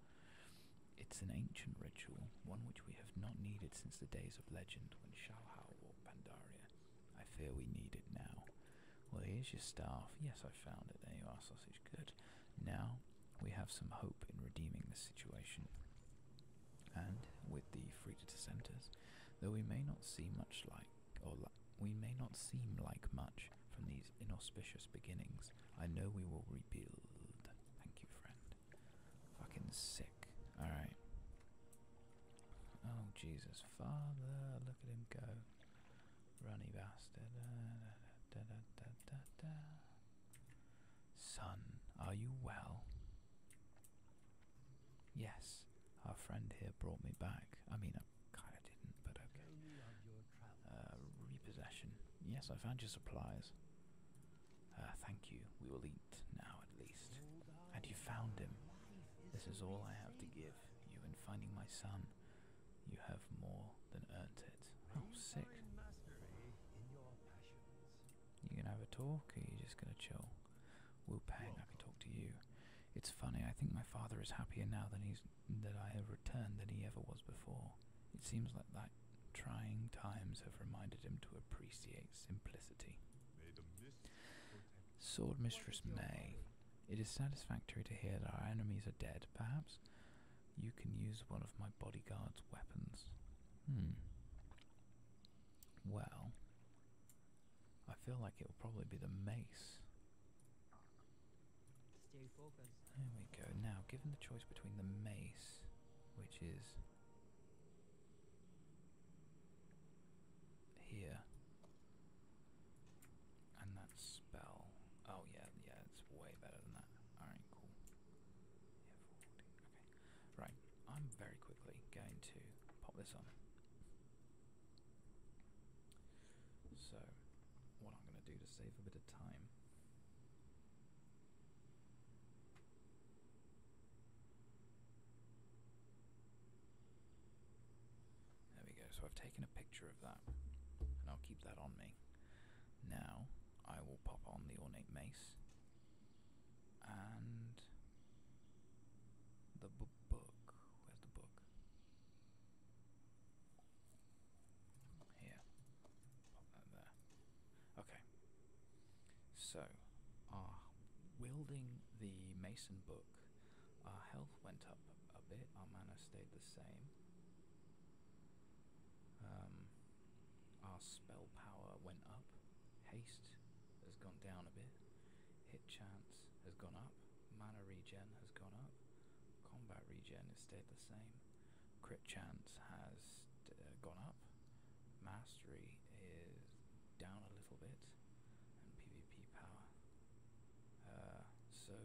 It's an ancient ritual, one which we have not needed since the days of legend when Shalhau walked Pandaria. I fear we need it now. Well, here's your staff. Yes, I found it. There you are, sausage. Good. Now we have some hope in redeeming this situation. And with the Frida Centers, though we may not see much like, or we may not seem like much from these inauspicious beginnings, I know we will rebuild. Thank you, friend. Fucking sick. Alright. Oh, Jesus. Father, look at him go. Runny bastard. Son, are you well? Yes, our friend here brought me back. I mean, I kind of didn't, but okay. Uh, repossession. Yes, I found your supplies. Uh, thank you. We will eat now at least. And you found him. This is all I have to give you in finding my son. You have more than earned it. Oh, sick. You gonna have a talk, or are you just gonna chill? Wu Pang, I can talk to you. It's funny. I think my father is happier now than he's that I have returned than he ever was before. It seems like that Trying times have reminded him to appreciate simplicity. Sword Mistress May. It is satisfactory to hear that our enemies are dead. Perhaps you can use one of my bodyguard's weapons. Hmm. Well, I feel like it will probably be the mace. There we go. Now, given the choice between the mace, which is here, and that spell. Oh, yeah, yeah, it's way better than that. Alright, cool. Right, I'm very quickly going to pop this on. So, what I'm going to do to save a bit of time there we go. So I've taken a picture of that, and I'll keep that on me. Now I will pop on the ornate mace and the book. Where's the book? Here. Pop that there. Okay. So, our wielding the mason book, our health went up a bit, our mana stayed the same. Um, our spell power went up, haste has gone down a bit, hit chance has gone up, mana regen has gone up, combat regen has stayed the same, Crit chance has uh, gone up. Mastery is down a little bit. And PvP power. Uh, so,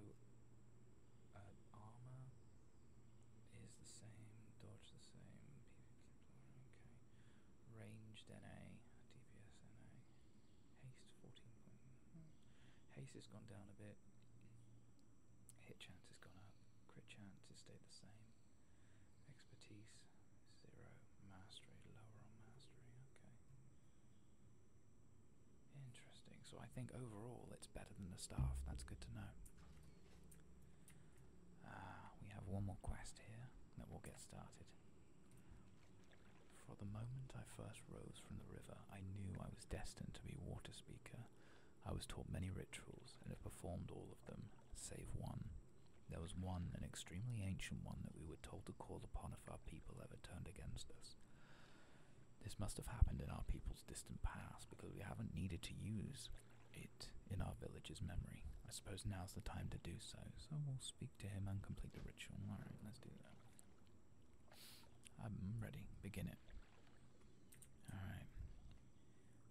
uh, armor is the same. Dodge the same. Range okay. Ranged NA. DPS NA. Haste 14. Hmm. Haste has gone down a bit. Hit chance has gone up. Crit chance has stayed the same. Expertise zero. Mastery lower on mastery. Okay. Interesting. So I think overall it's better than the staff. That's good to know. Ah, we have one more quest here that we'll get started. From the moment I first rose from the river, I knew I was destined to be water speaker, I was taught many rituals and have performed all of them, save one. There was one, an extremely ancient one, that we were told to call upon if our people ever turned against us. This must have happened in our people's distant past because we haven't needed to use it in our village's memory. I suppose now's the time to do so, so we'll speak to him and complete the ritual. Alright, let's do that. I'm ready. Begin it. Alright.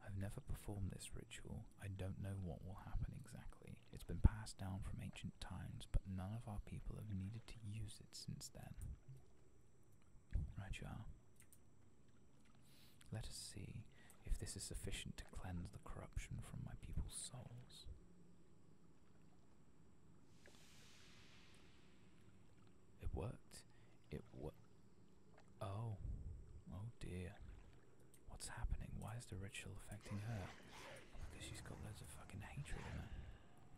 I've never performed this ritual. I don't know what will happen exactly. It's been passed down from ancient times, but none of our people have needed to use it since then. Right, you are. Let us see if this is sufficient to cleanse the corruption from my people's souls. It worked it wa Oh. Oh dear. What's happening? Why is the ritual affecting her? Because she's got loads of fucking hatred in her.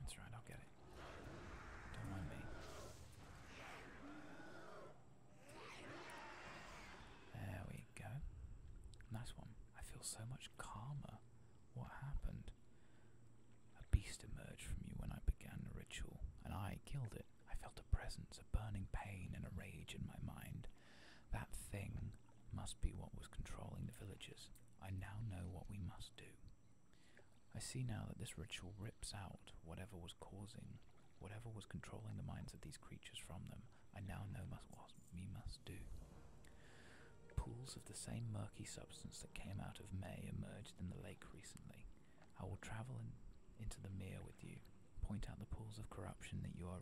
That's right, I'll get it. Don't mind me. There we go. Nice one. I feel so much calmer. What happened? A beast emerged from you when I began the ritual, and I killed it. I felt a presence, a burning pain, and a rage in my mind. That thing must be what was controlling the villagers. I now know what we must do. I see now that this ritual rips out whatever was causing, whatever was controlling the minds of these creatures from them. I now know must what we must do. Pools of the same murky substance that came out of May emerged in the lake recently. I will travel into the mere with you, point out the pools of corruption that you are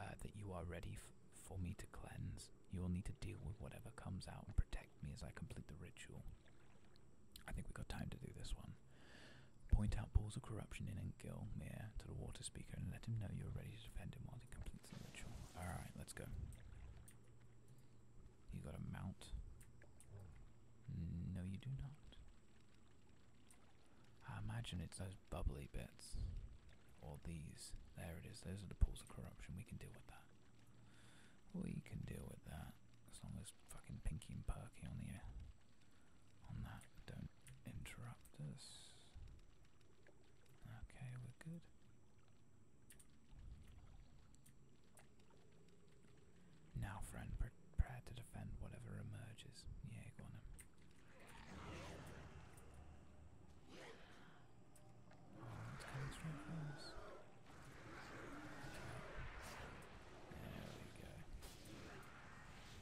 uh, that you are ready for me to cleanse. You will need to deal with whatever comes out and protect me as I complete the ritual. I think we've got time to do this one. Point out pools of corruption in Engil Mere to the water speaker and let him know you're ready to defend him while he completes the ritual. Alright, let's go. You got a mount? No, you do not. I imagine it's those bubbly bits. Or these. There it is. Those are the pools of corruption. We can deal with that. We can deal with that. As long as fucking Pinky and Perky on the air. On that. Don't interrupt us. Okay, we're good. Now, friend, prepare to defend whatever emerges. Yeah,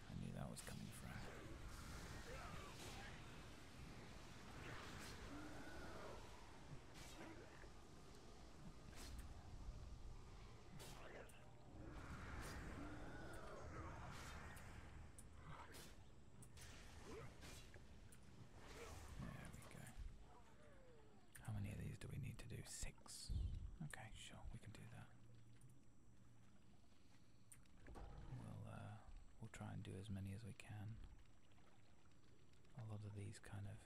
I knew that was coming from we go. How many of these do we need to do? Six. Okay, sure, we can do that. We'll uh, we'll try and do as many as we can. A lot of these kind of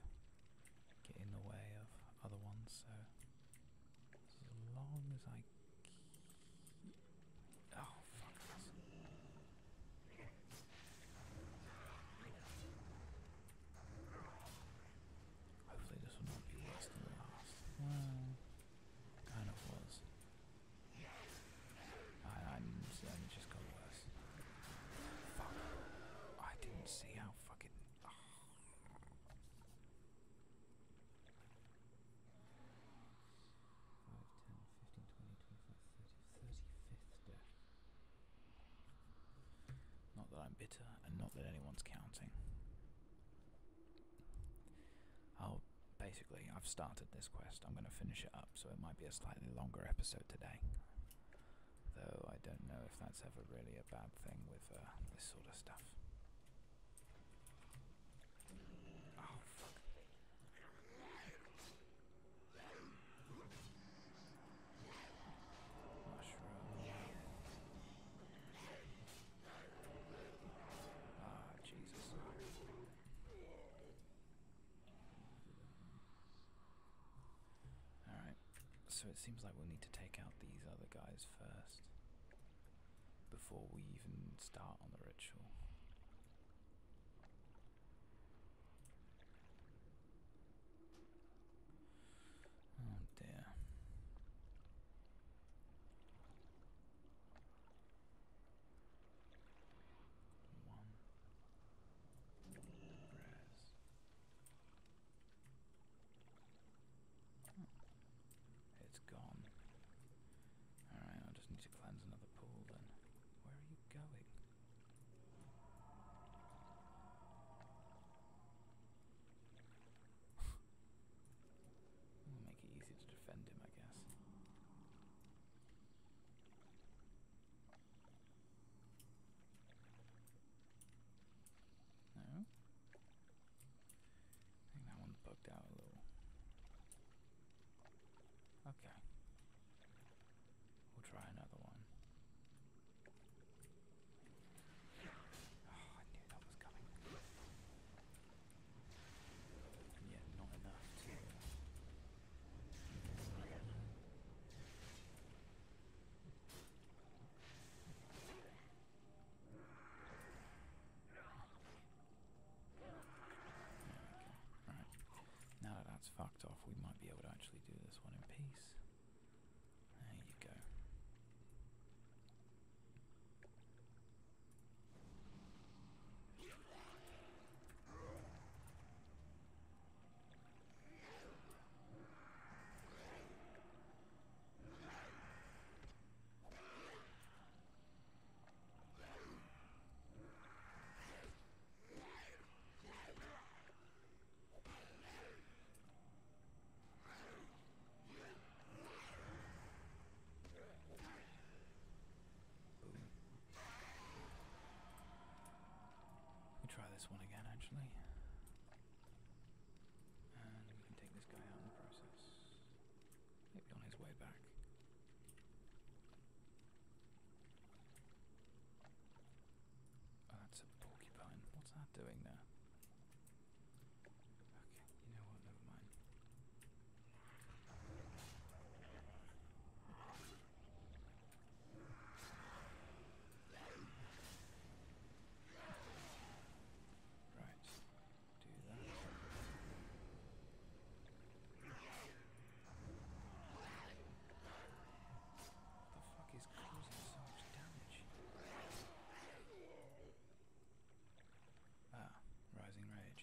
get in the way of other ones, so as long as I Oh, fuck this. Hopefully this will not be worse than last. kind of was. I, I'm just got worse. Fuck. I didn't see how fucking... Ah. Not that I'm bitter, and not that anyone's counting. Oh, basically, I've started this quest. I'm going to finish it up, so it might be a slightly longer episode today. Though I don't know if that's ever really a bad thing with uh, this sort of stuff. Oh, ah, Jesus. Alright, so it seems like we'll need to take out these other guys first before we even start on the ritual. Oh it's gone. Alright, I just need to cleanse another pool then. Where are you going? make it easy to defend him, I guess. No? I think that one's bugged out a little. Okay. We'll try another one. Oh, I knew that was coming. And yet, not enough to. Uh, Right. Now that that's fucked off, we might be able to actually do this one in peace. There you go. We try this one again, actually. And we can take this guy out in the process. Maybe on his way back. Oh, that's a porcupine. What's that doing there? Okay, you know what? Never mind. Right. Do that. What the fuck is causing so much damage? Ah, rising rage.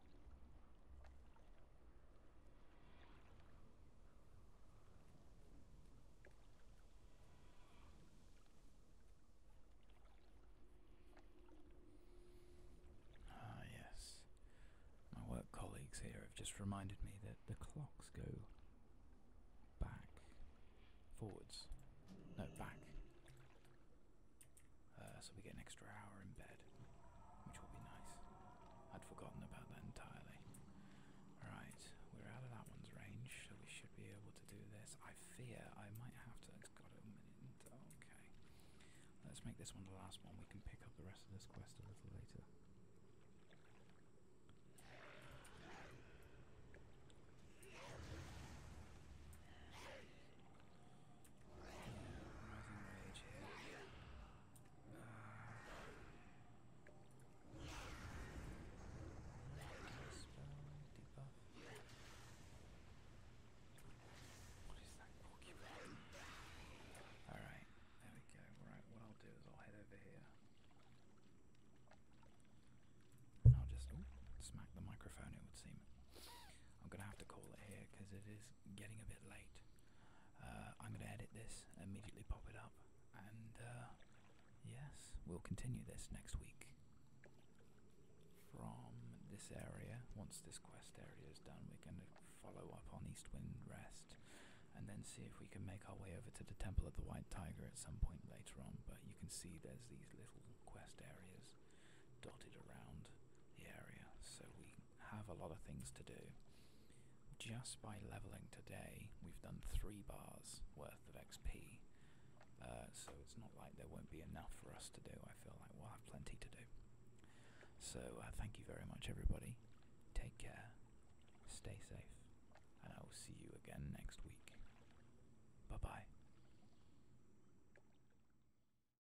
Ah, yes. My work colleagues here have just reminded me that the clocks go back. Forwards. No, back. Uh, so we get an extra hour in bed, which will be nice. I'd forgotten about that entirely. Right, we're out of that one's range, so we should be able to do this. I fear I might have to. Okay. Let's make this one the last one. We can pick up the rest of this quest a little later. Alright, there we go. Right, what I'll do is I'll head over here. I'll just smack the microphone, it would seem. I'm going to have to call it here because it is getting a bit late. Uh, I'm going to edit this, immediately pop it up, and uh, yes, we'll continue this next week. From this area, once this quest area is done, we're going to follow up on East Wind Rest and then see if we can make our way over to the Temple of the White Tiger at some point later on. But you can see there's these little quest areas dotted around the area, so we have a lot of things to do. Just by leveling today, we've done three bars worth of XP. Uh, so it's not like there won't be enough for us to do. I feel like we'll have plenty to do. So uh, thank you very much, everybody. Take care, stay safe, and I will see you again next week. Bye bye.